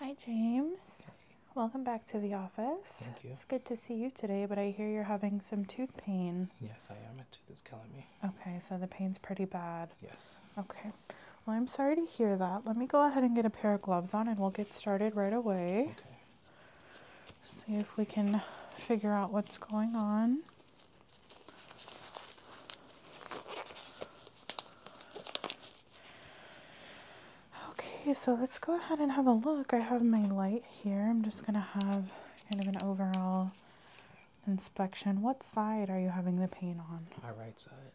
Hi, James. Welcome back to the office. Thank you. It's good to see you today, but I hear you're having some tooth pain. Yes, I am. A tooth is killing me. Okay, so the pain's pretty bad. Yes. Okay. Well, I'm sorry to hear that. Let me go ahead and get a pair of gloves on and we'll get started right away. Okay. See if we can figure out what's going on. Okay, so let's go ahead and have a look. I have my light here. I'm just going to have kind of an overall inspection. What side are you having the paint on? My right side.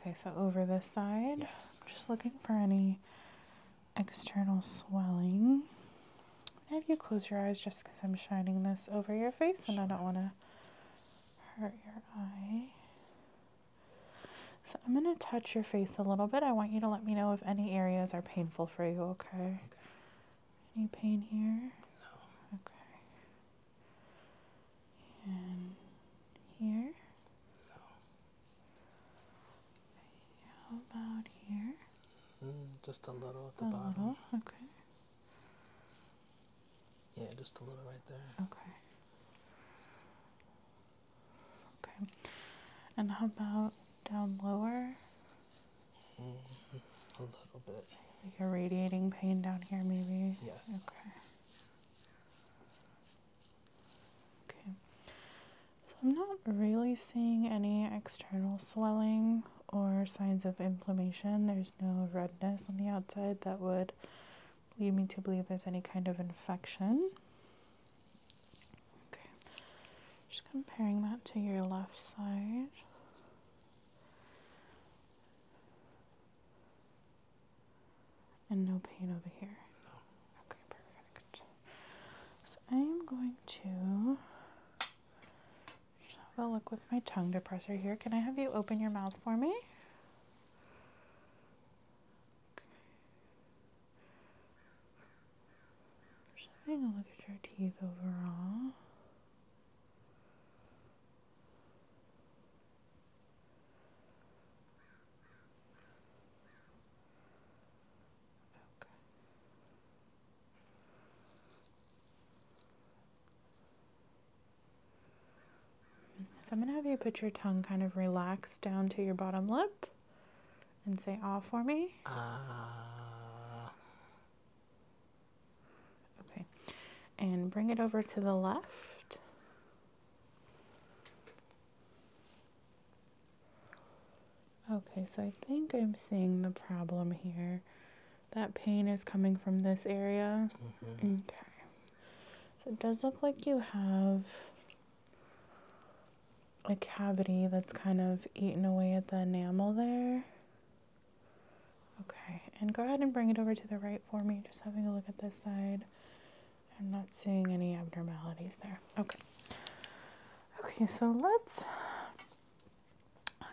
Okay, so over this side. Yes. Just looking for any external swelling. Have you close your eyes just because I'm shining this over your face and I don't want to hurt your eye. So I'm going to touch your face a little bit. I want you to let me know if any areas are painful for you, okay? Any pain here? No. Okay. And here? No. How about here? Mm, just a little at the a bottom. Little. Okay. Yeah, just a little right there. Okay. Okay. And how about down lower? Mm-hmm. a little bit. Like a radiating pain down here, maybe? Yes. Okay. Okay. So I'm not really seeing any external swelling or signs of inflammation. There's no redness on the outside that would lead me to believe there's any kind of infection. Okay, just comparing that to your left side. And no pain over here. No. Okay, perfect. So I am going to have a look with my tongue depressor here. Can I have you open your mouth for me? Just having a look at your teeth overall. Okay. So I'm going to have you put your tongue kind of relaxed down to your bottom lip and say ah for me. Ah. Okay. And bring it over to the left. Okay, so I think I'm seeing the problem here. That pain is coming from this area. Mm-hmm. Okay. So it does look like you have a cavity that's kind of eaten away at the enamel there. Okay, and go ahead and bring it over to the right for me. Just having a look at this side. I'm not seeing any abnormalities there. Okay. Okay, so let's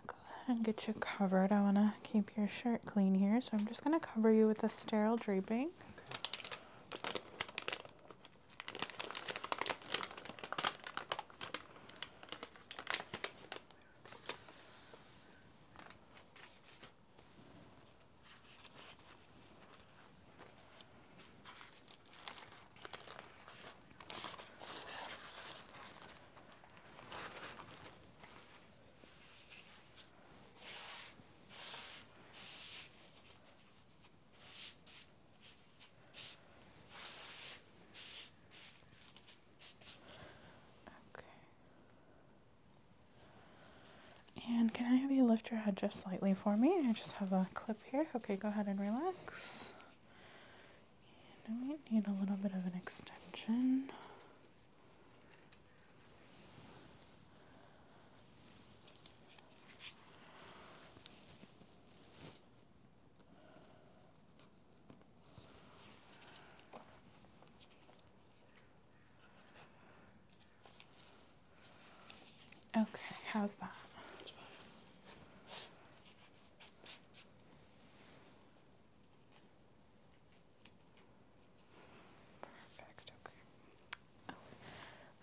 go ahead and get you covered. I want to keep your shirt clean here, so I'm just going to cover you with a sterile draping. And can I have you lift your head just slightly for me? I just have a clip here. Okay, go ahead and relax. And I need a little bit of an extension. Okay, how's that? Perfect, okay.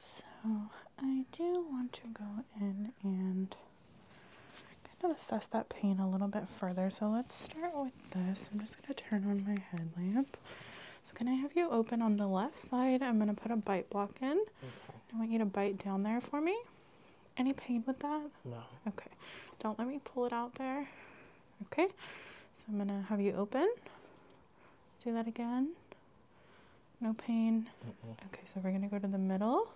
So I do want to go in and kind of assess that pain a little bit further. So let's start with this. I'm just going to turn on my headlamp. So can I have you open on the left side? I'm going to put a bite block in. I want you to bite down there for me. Any pain with that? No. Okay. Don't let me pull it out there. Okay, so I'm gonna have you open. Do that again. No pain. Okay, so we're gonna go to the middle.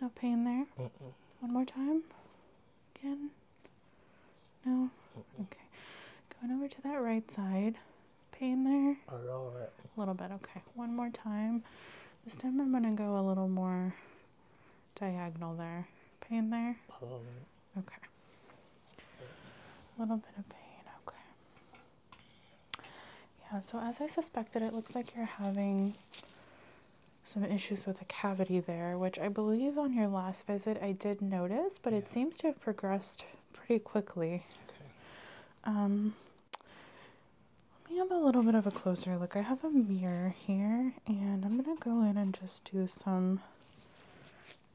No pain there. One more time. Again. No. Okay. Going over to that right side. Pain there. A little bit. A little bit. Okay. One more time. This time I'm gonna go a little more diagonal there. Pain there? Okay. A little bit of pain, okay. Yeah, so as I suspected, it looks like you're having some issues with a cavity there, which I believe on your last visit I did notice, but it seems to have progressed pretty quickly. Okay. Um, let me have a little bit of a closer look. I have a mirror here, and I'm going to go in and just do some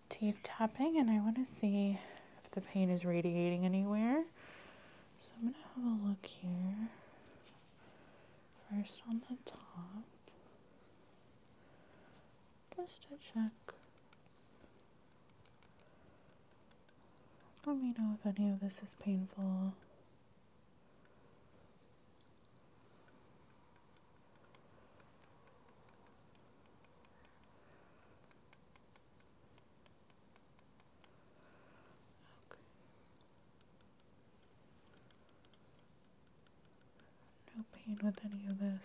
teeth tapping and I want to see if the pain is radiating anywhere. So I'm going to have a look here. First on the top. Just to check. Let me know if any of this is painful. No pain with any of this.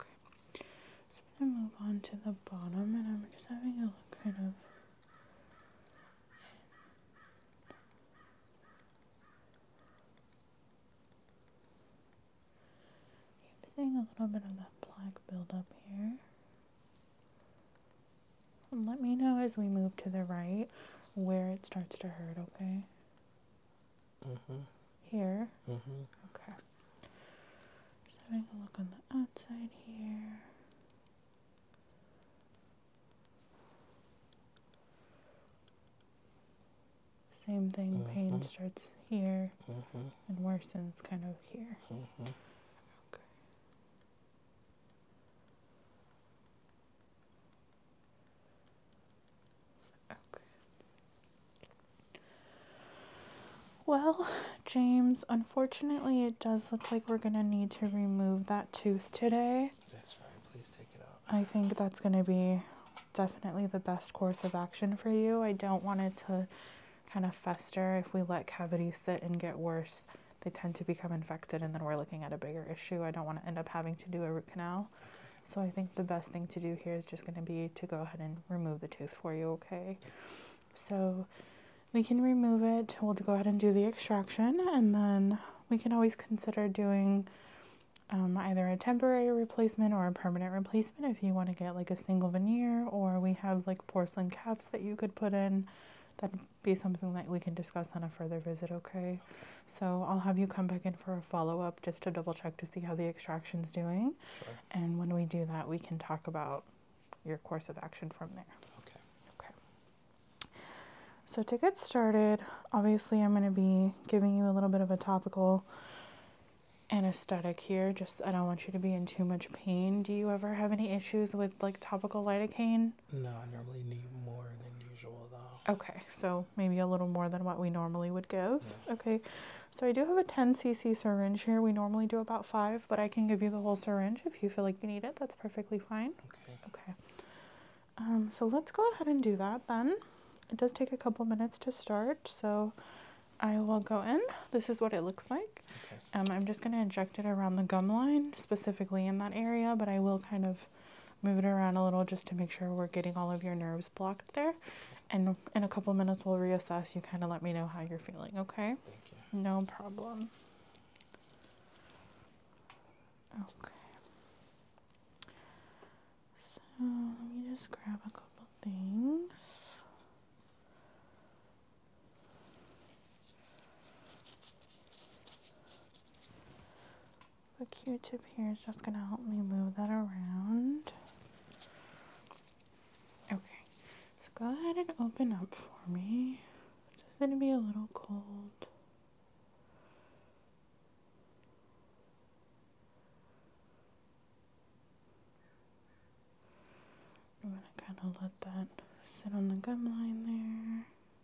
Okay, I'm gonna move on to the bottom, and I'm just having a look kind of. I'm seeing a little bit of that black buildup here let me know as we move to the right where it starts to hurt, okay? Mm-hmm. Here? Mm-hmm. Okay. Just having a look on the outside here. Same thing, pain mm-hmm. starts here and worsens kind of here. Well, James, unfortunately, it does look like we're going to need to remove that tooth today. That's fine. Please take it out. I think that's going to be definitely the best course of action for you. I don't want it to kind of fester if we let cavities sit and get worse they tend to become infected, and then we're looking at a bigger issue. I don't want to end up having to do a root canal. So I think the best thing to do here is just going to be to go ahead and remove the tooth for you, okay? So we can remove it. We'll go ahead and do the extraction, and then we can always consider doing um, either a temporary replacement or a permanent replacement if you want to get like a single veneer, or we have like porcelain caps that you could put in that be something that we can discuss on a further visit, okay? So I'll have you come back in for a follow up just to double check to see how the extraction is doing. And when we do that, we can talk about your course of action from there. Okay. Okay. So to get started, obviously I'm going to be giving you a little bit of a topical anesthetic here. Just I don't want you to be in too much pain. Do you ever have any issues with like topical lidocaine? No, I normally need more than usual though. Okay, so maybe a little more than what we normally would give. Okay, so I do have a 10 cc syringe here. We normally do about five, but I can give you the whole syringe if you feel like you need it. That's perfectly fine. Okay. Okay. Um, so let's go ahead and do that then. It does take a couple minutes to start, so I will go in. This is what it looks like. Um, I'm just going to inject it around the gum line, specifically in that area, but I will kind of move it around a little just to make sure we're getting all of your nerves blocked there. And in a couple minutes, we'll reassess. You kind of let me know how you're feeling, okay? No problem. Okay. So let me just grab a couple things. The q-tip here is just going to help me move that around. Okay, so go ahead and open up for me. It's going to be a little cold. I'm to kind of let that sit on the gum line there.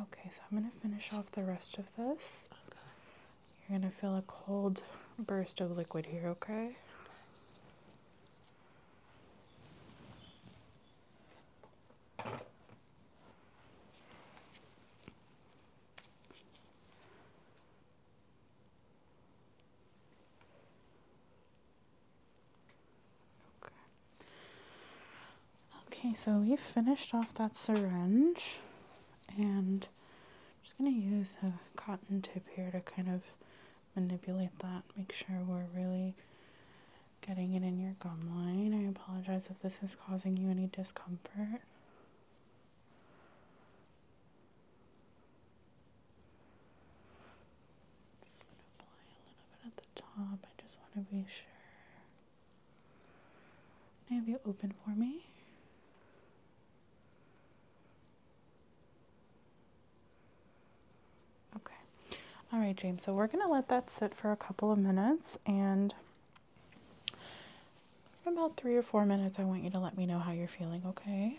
Okay, so I'm going to finish off the rest of this. You're going to feel a cold burst of liquid here, okay? Okay. Okay, so we've finished off that syringe and I'm just going to use a cotton tip here to kind of manipulate that, make sure we're really getting it in your gum line. I apologize if this is causing you any discomfort i going to apply a little bit at the top. I just want to be sure. Can I you open for me? Okay. All right, James. So we're going to let that sit for a couple of minutes and in about three or four minutes, I want you to let me know how you're feeling, Okay.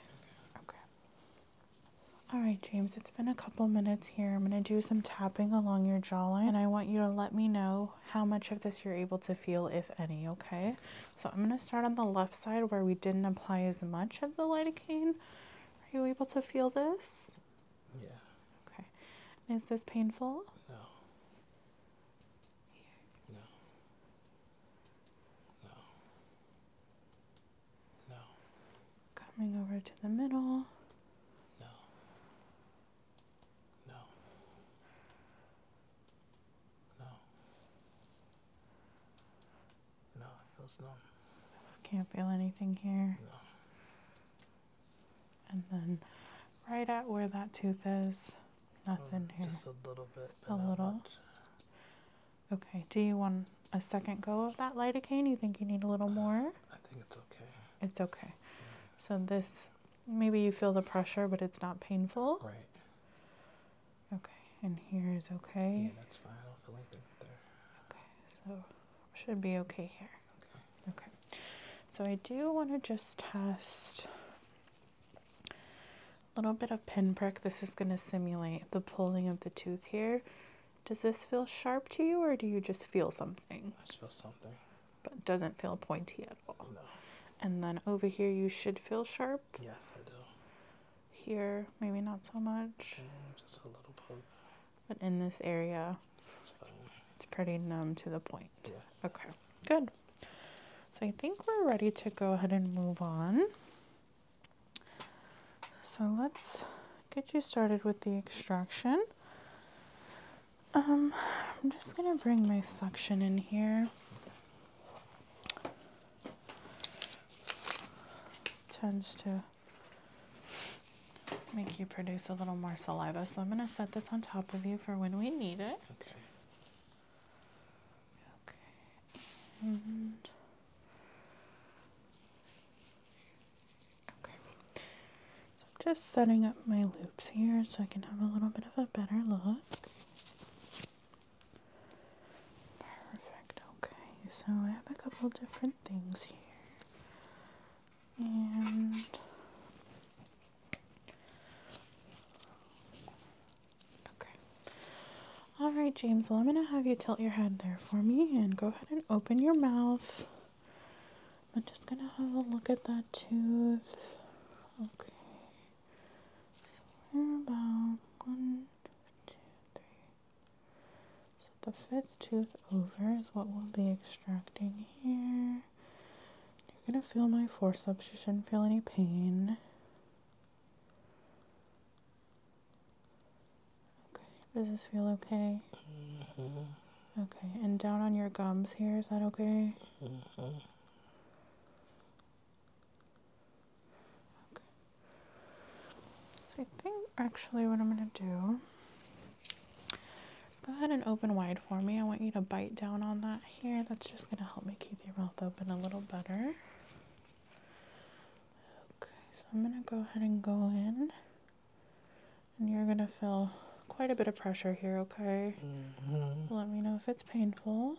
okay. All right, James, it's been a couple minutes here. I'm going to do some tapping along your jawline, and I want you to let me know how much of this you're able to feel, if any, okay? So I'm going to start on the left side where we didn't apply as much of the lidocaine. Are you able to feel this? Yeah. Okay. is this painful? No. No. No. No. Coming over to the middle. No. No. No. No, feels numb. Can't feel anything here. No. And then right at where that tooth is, oh, nothing here. Just a little bit. a little. Okay. Do you want a second go of that lidocaine? You think you need a little uh, more? I think it's okay. It's okay. So this, maybe you feel the pressure, but it's not painful. Right. Okay. And here is okay. Yeah, that's fine. I don't feel anything there. Okay. So should be okay here. Okay. Okay. So I do want to just test a little bit of pinprick. This is going to simulate the pulling of the tooth here. Does this feel sharp to you or do you just feel something? I feel something. But doesn't feel pointy at all. No. And then over here you should feel sharp. Yes, I do. Here, maybe not so much. Mm, just a little poke. But in this area, it's pretty numb to the point. Yes. Okay, good. So I think we're ready to go ahead and move on. So let's get you started with the extraction. Um, I'm just going to bring my suction in here tends to make you produce a little more saliva. So I'm going to set this on top of you for when we need it. Okay. Okay, and okay, so I'm just setting up my loops here so I can have a little bit of a better look. Perfect, okay, so I have a couple different things here. And Okay. All right, James. Well, I'm going to have you tilt your head there for me and go ahead and open your mouth. I'm just going to have a look at that tooth. Okay. So we're about one, two, three. So the fifth tooth over is what we'll be extracting here. You're going to feel my forceps. You shouldn't feel any pain. Okay, does this feel okay? Mm-hmm. Okay, and down on your gums here, is that okay? hmm Okay. So I think actually what I'm gonna do is go ahead and open wide for me. I want you to bite down on that here. That's just gonna help me keep your mouth open a little better. Okay, so I'm going to go ahead and go in. And you're going to feel quite a bit of pressure here, okay? Mm-hmm. Let me know if it's painful.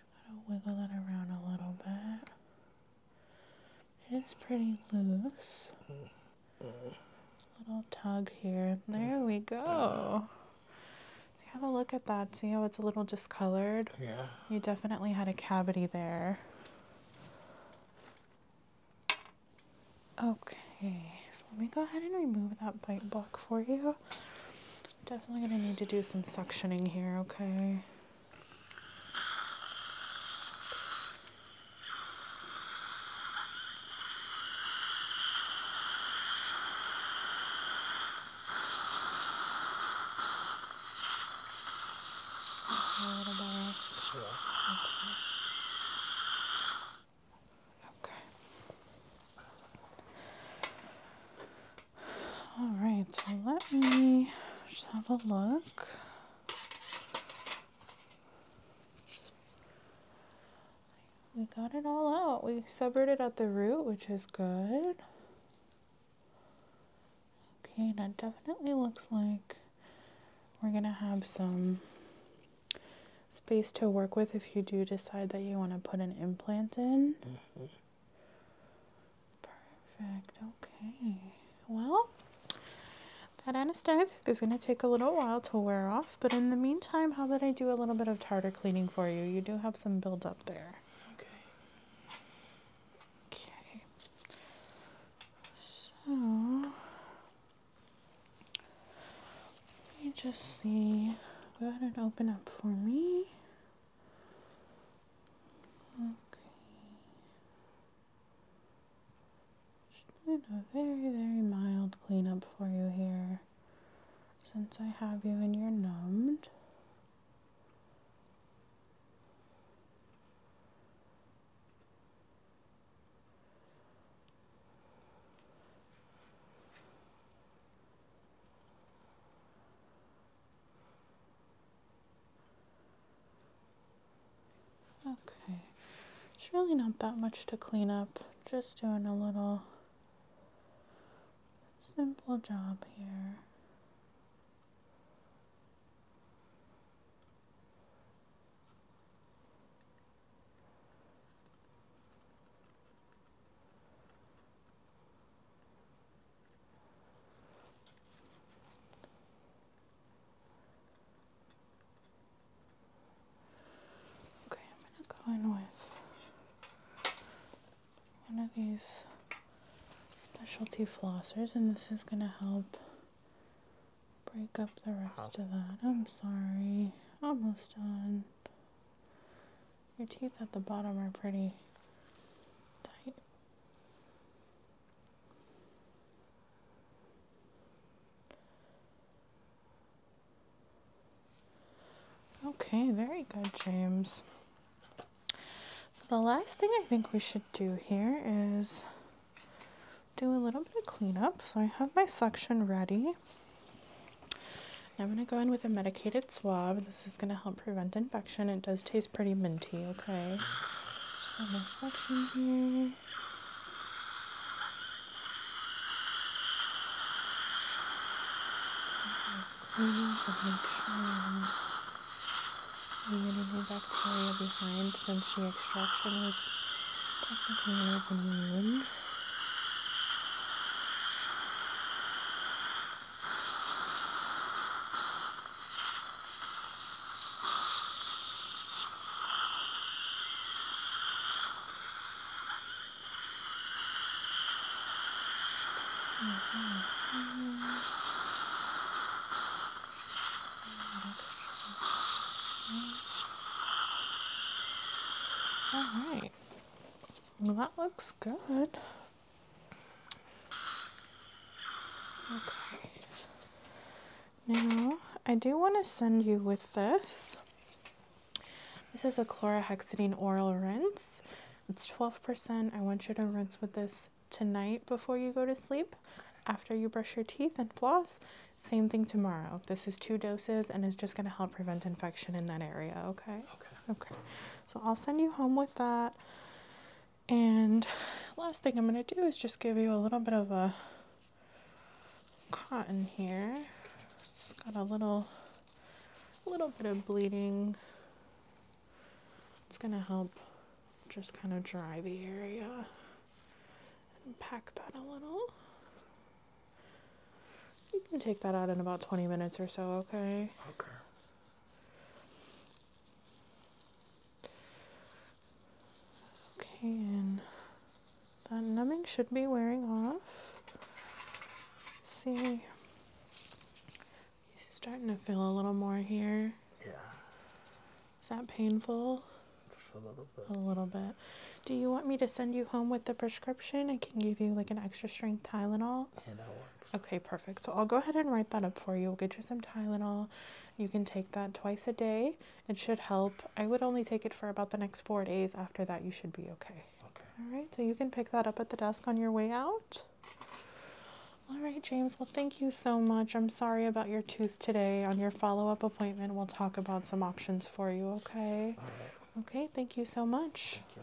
Gotta wiggle it around a little bit. It is pretty loose. Mm-hmm little tug here. There we go. Have a look at that. See how it's a little discolored? Yeah. You definitely had a cavity there. Okay, so let me go ahead and remove that bite block for you. Definitely gonna need to do some suctioning here, okay? a little better? Yeah. Okay. okay. All right, so let me just have a look we got it all out. We severed it at the root, which is good. Okay, that definitely looks like we're gonna have some space to work with if you do decide that you want to put an implant in. Perfect. Okay. Well, that anesthetic is going to take a little while to wear off. But in the meantime, how about I do a little bit of tartar cleaning for you? You do have some buildup there. Okay. Okay. So, let me just see. Go ahead and open up for me. Okay. Just doing a very, very mild cleanup for you here since I have you and you're numbed. Okay, it's really not that much to clean up, just doing a little simple job here. Okay, I'm gonna go in with one of these specialty flossers, and this is gonna help break up the rest of that. I'm sorry, almost done. Your teeth at the bottom are pretty tight. Okay, very good, James. So the last thing I think we should do here is do a little bit of cleanup. So I have my suction ready. I'm going to go in with a medicated swab. This is going to help prevent infection. It does taste pretty minty, okay? cleaning to make sure we get any bacteria behind since the extraction was technically an open wound. All right. Well, that looks good. Okay. Now, I do want to send you with this this is a chlorhexidine oral rinse. It's 12%. I want you to rinse with this tonight before you go to sleep, after you brush your teeth and floss. Same thing tomorrow. This is two doses and it's just going to help prevent infection in that area, okay? Okay. Okay. So I'll send you home with that. And last thing I'm going to do is just give you a little bit of a cotton here. It's got a little, little bit of bleeding. It's gonna help just kind of dry the area and pack that a little. You can take that out in about 20 minutes or so, okay? Okay. Okay, and the numbing should be wearing off. see, it's starting to feel a little more here. Yeah. Is that painful? Just a little bit. A little bit. Do you want me to send you home with the prescription? I can give you like an extra strength Tylenol. Yeah, that works. Okay, perfect. So I'll go ahead and write that up for you. We'll get you some Tylenol. You can take that twice a day. It should help. I would only take it for about the next four days. After that, you should be okay. Okay. All right, so you can pick that up at the desk on your way out. All right, James. Well, thank you so much. I'm sorry about your tooth today. On your follow up appointment, we'll talk about some options for you, okay? All right. Okay, thank you so much. you.